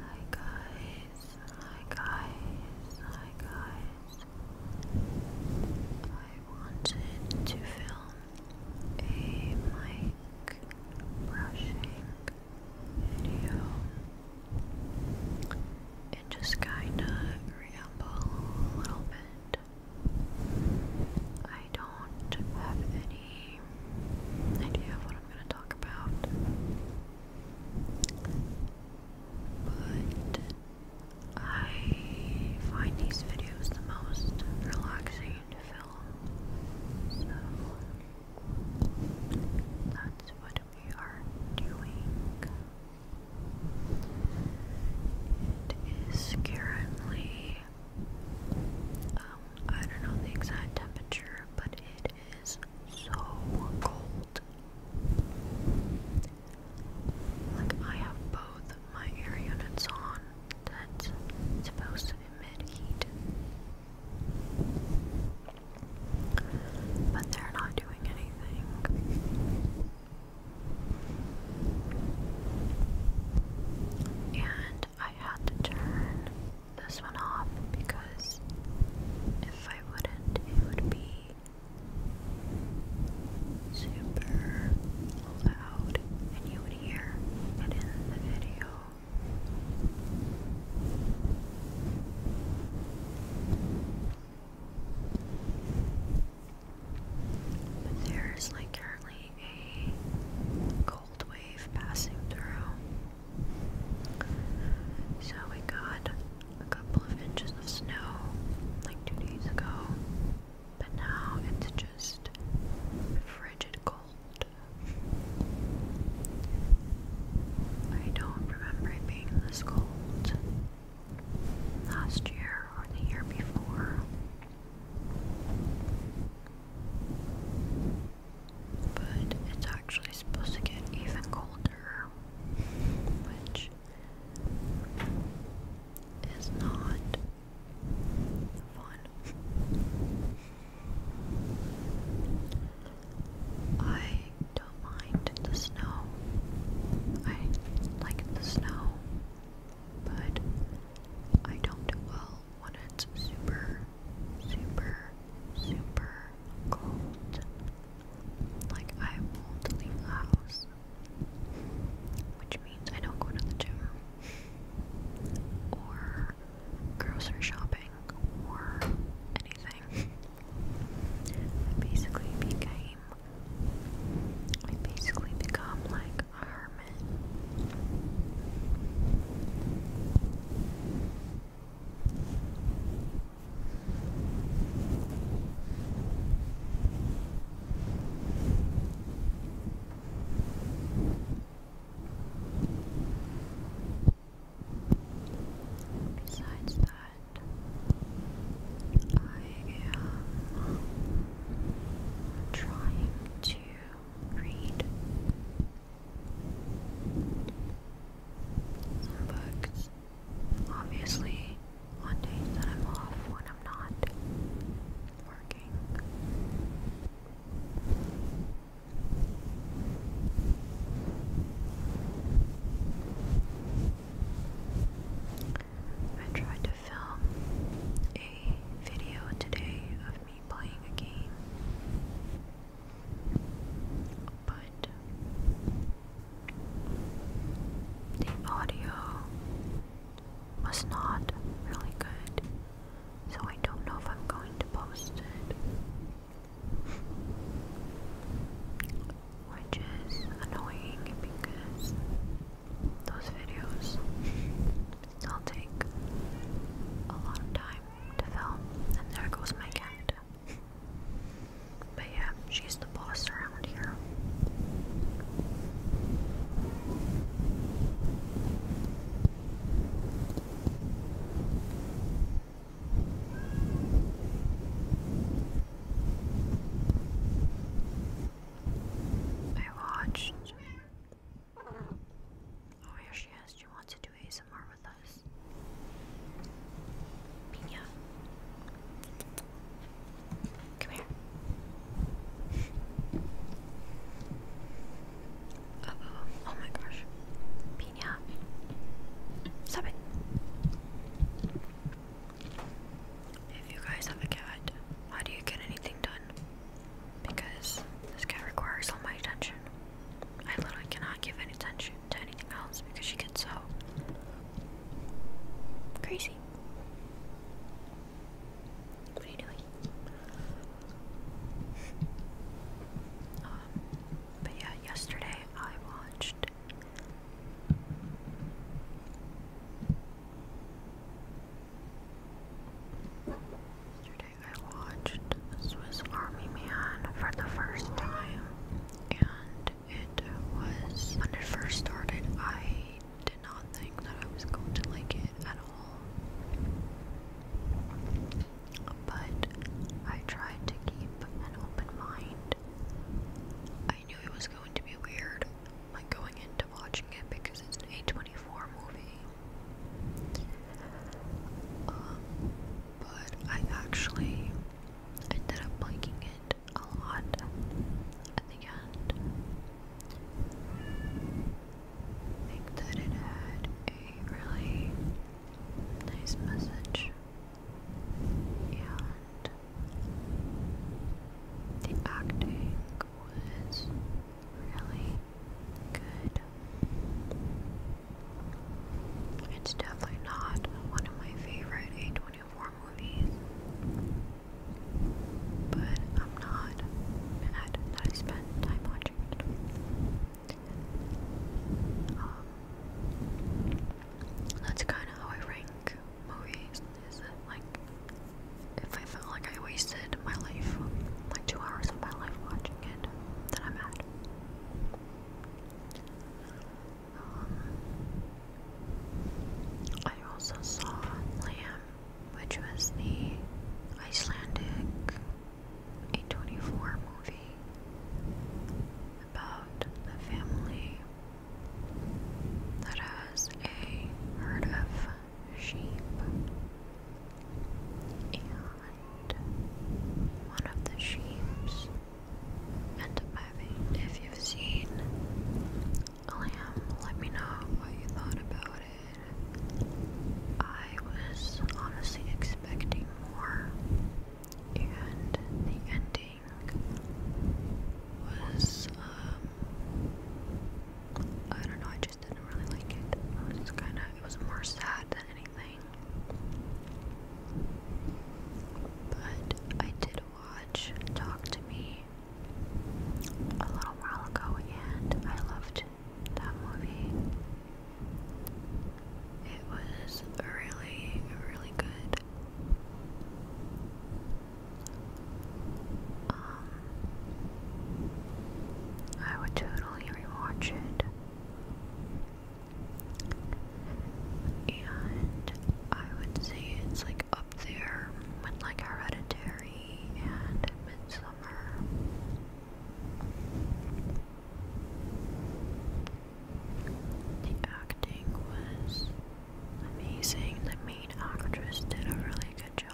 Hi guys, hi guys, hi guys. I wanted to film a mic brushing video and just kinda ramble a little bit. I don't have any any idea of what I'm going to talk about. But I find these videos the most relaxing to film. So that's what we are doing. It is currently um, I don't know the exact temperature, but it is so cold. Like, I have both my air units on that's supposed to emit heat, but they're not doing anything. And I had to turn this one off because if I wouldn't, it would be super loud and you would hear it in the video. But there is like currently a cold wave passing through. So we got a couple of inches of snow like two days ago, but now it's just frigid cold. I don't remember it being this cold last year or the year before. But it's actually supposed to get even colder, which is not fun. I don't mind the snow. I like the snow, but I don't do well when it's super, super, super cold. Like, I won't leave Which means I don't go to the gym. Or grocery shopping. Or anything. I basically became. I basically become like Besides that, I am trying to read some books. Obviously, on days that I'm off when I'm not working. I try to film a video today of me playing a game, but the audio was not really good, so I don't know if I'm going to post it. Which is annoying because those videos still take a lot time to film. And there goes my cat. But yeah, she's the boss around here. I watched Oh, here she is. She wants to do ASMR with us. Pina. Come here. oh. my gosh. Pina. Stop it. If you guys have a cat, how do you get anything done? because this guy requires all my attention. I literally cannot give any attention to anything else because she gets so crazy. What are you doing? Um, but yeah, yesterday I watched Yesterday I watched Swiss Army Man for the first time, and it was when it first started, I did not think that I was going to like it at all. But I tried to keep an open mind. I knew it was going to be weird, like going into watching it because it's an A24 movie. Um, but I actually ended up liking it a lot at the end. think that it had a really nice message, and the acting was really good. It's definitely not one of my favorite A24 movies, but I'm not mad that I spent time watching it. Um, that's kind of how I rank movies is like if I felt like I wasted my life, like two hours of my life watching it, then I'm mad. Um, I also saw Lamb, which was the Icelandic A24 movie about the family that has a herd of sheep, and one of the sheeps ended If you've seen Lamb, let me know what you thought about it. I was honestly expecting more, and the ending was um, I don't know, I just didn't really like it. It was kind of, it was more sad than anything. But I did watch Talk to Me a little while ago and I loved that movie. It was really, really good. Um, I would totally rewatch it. And I would say it's like up there with like Hereditary and Midsummer. The acting was Amazing, the main actress did a really good job.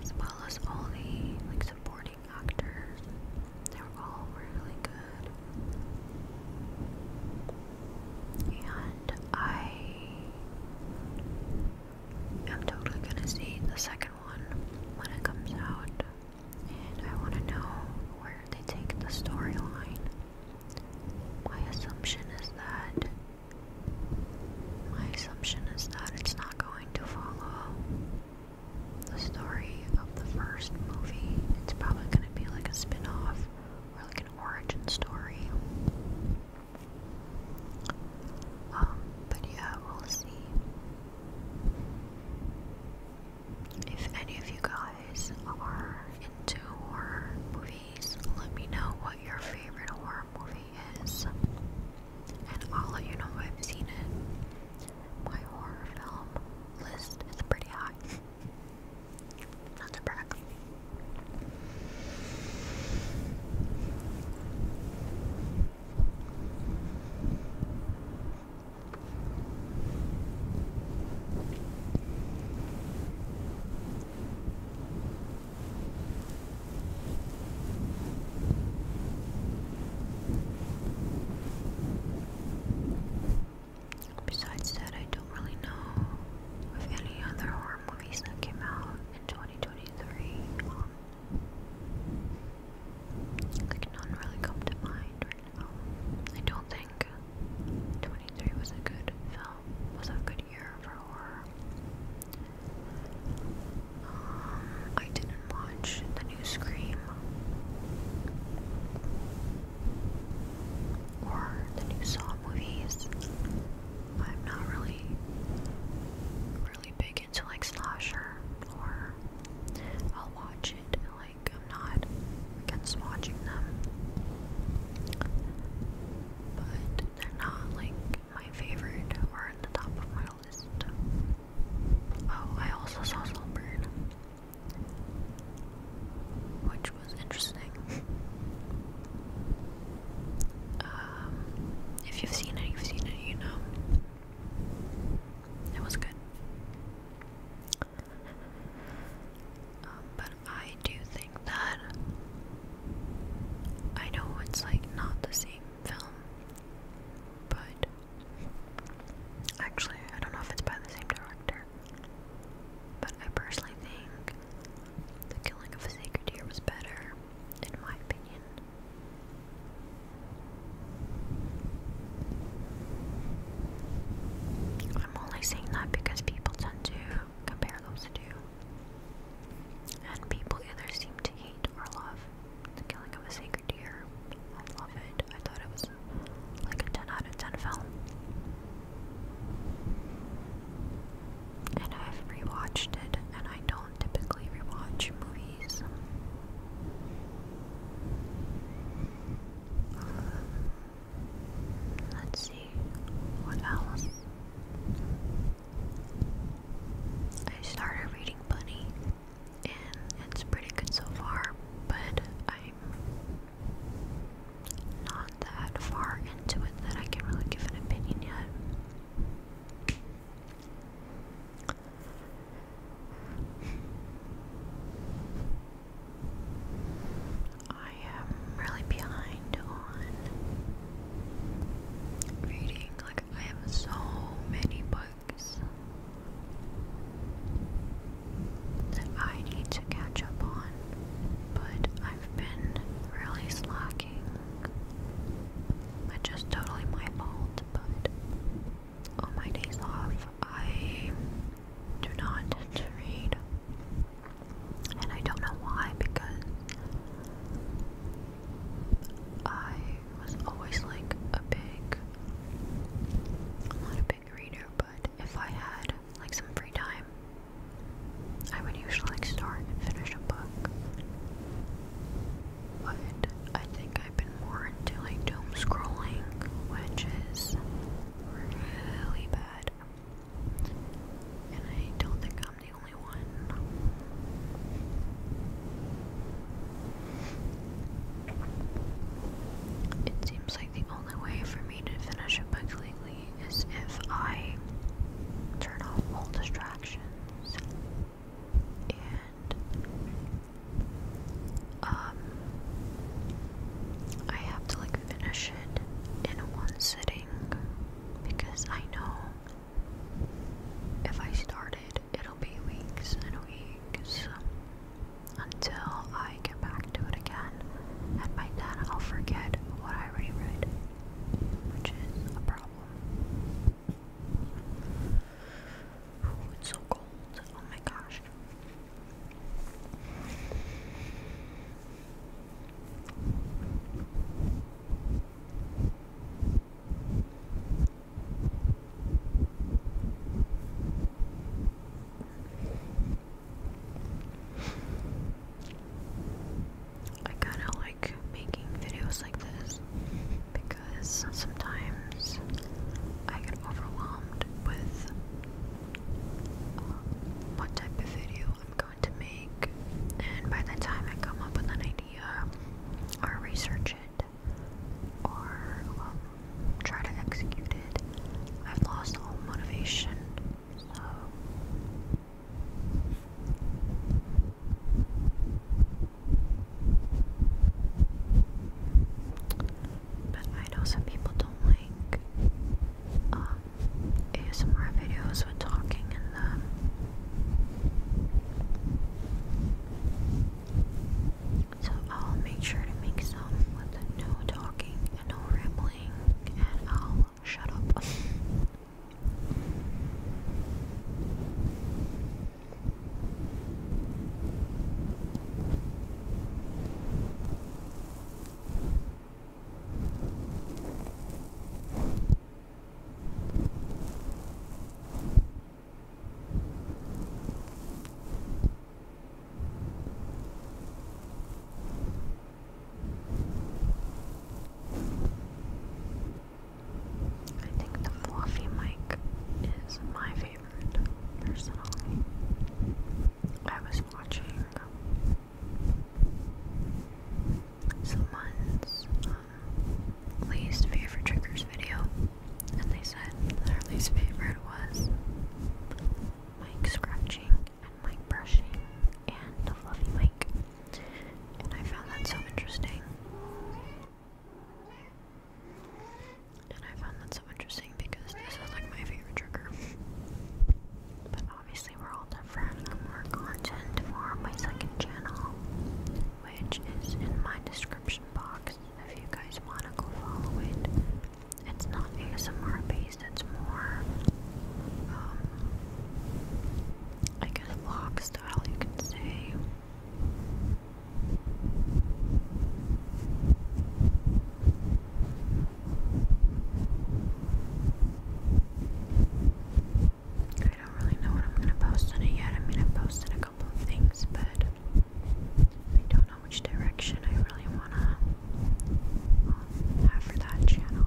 As well as all the like supporting actors. They were all really good. And I am totally gonna see the second one when it comes out. And I want to know where they take the storyline. My assumption is that. My assumption is that it's not going to follow the story of the first movie. It's probably going to be like a spin off or like an origin story. Um, but yeah, we'll see. If any of you guys are into horror movies, let me know what your favorite horror movie is. And I'll let you know if I've seen it. My horror film list is pretty high. Not to brag. Besides that, I don't really know of any other horror movies that came out in 2023. Um, like none really come to mind right I don't think 23 was a good film, was a good year for horror. Um, I didn't watch the new Scream or the new Saw movies. I'm not really, really big into like slasher or I'll watch it like I'm not against watching them, but they're not like my favorite or at the top of my list. Oh, I also saw Saltburn, which was interesting. um, if you've seen it, you've seen it, you know. It was good. Um, but I do think that I know it's like not the same film, but actually, I don't know if it's by the same director. But I personally think The Killing of a Sacred Deer was better, in my opinion. I'm only saying that because people tend to compare those two. And people either seem to hate or love the killing of a sacred deer. I love it. I thought it was like a 10 out of 10 film. And I've rewatched it, and I don't typically rewatch movies. Let's see what else. I started reading Bunny and it's pretty good so far, but I'm not that far into it that I can really give an opinion yet. I am really behind on reading. Like, I have so many books that I need to catch up on, but I've been really slacking. It's just totally my fault, but on oh, my days off, I do not read. And I don't know why, because I was always like a big, not a big reader, but if I had like some free time, I would usually like start and finish a book. But I think I've been more more like doom scrolling, which is really bad. And I don't think I'm the only one. It seems like the only way for me to finish a book lately is if I turn off all distractions and um, I have to like finish it in one sitting because I know if I start it, it'll be weeks and weeks until I get back to it again, and by then I'll forget what I already read, which is a problem it's so cold. Oh my gosh. I kind of like making videos like this because because sometimes I get overwhelmed with um, what type of video I'm going to make, and by the time I come up with an idea or research it or um, try to execute it, I've lost all motivation. But I know some people don't like um, ASMR videos with talking in them. Um, so I'll make sure to make some with no talking and no rambling, and I'll shut up. I think the fluffy mic is my favorite personally. I was watching um, someone's um, least favorite triggers video, and they said that her least favorite was mic scratching and mic brushing and the fluffy mic. And I found that so interesting. And I found that so interesting because this is like my favorite trigger. But obviously, we're all different. more content for my second channel, which is in my description box if you guys want to go follow it. It's not ASMR based, it's more, um, I vlog style, you can say. I don't really know what I'm gonna post on it yet. I mean, i posted a couple of things, but I don't know which direction I really wanna um, have for that channel.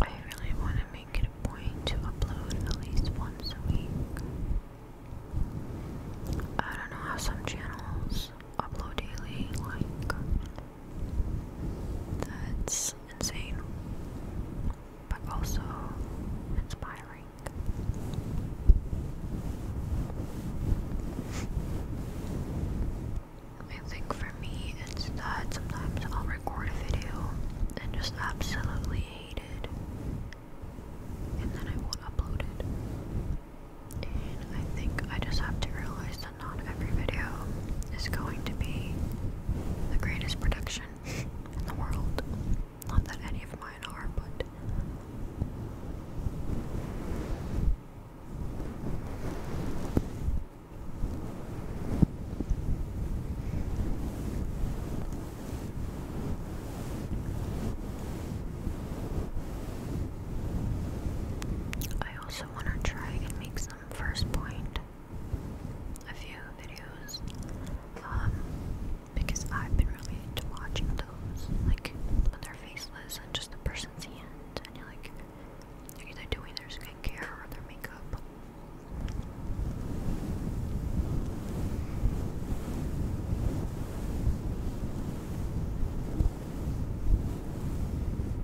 I really want to make it a point to upload at least once a week. I don't know how some channels upload daily, like, that's insane but also inspiring. I think for me, it's that sometimes I'll record a video and just absolutely hate it, and then I won't upload it. And I think I just have to realize that not every video is going to be the greatest production in the world. Not that any of mine are, but. I also want to try and make some first point a few videos um, because I've been really into watching those, like when they're faceless and just the person's hand, and you're like, they're either doing their skincare or their makeup.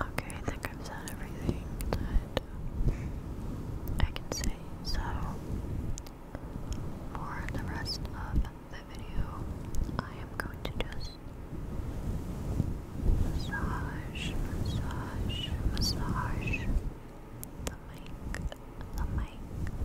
Okay, I think I've said everything that I can say, so for the rest of the video, I am going to just massage, massage, massage the mic, the mic. Okay,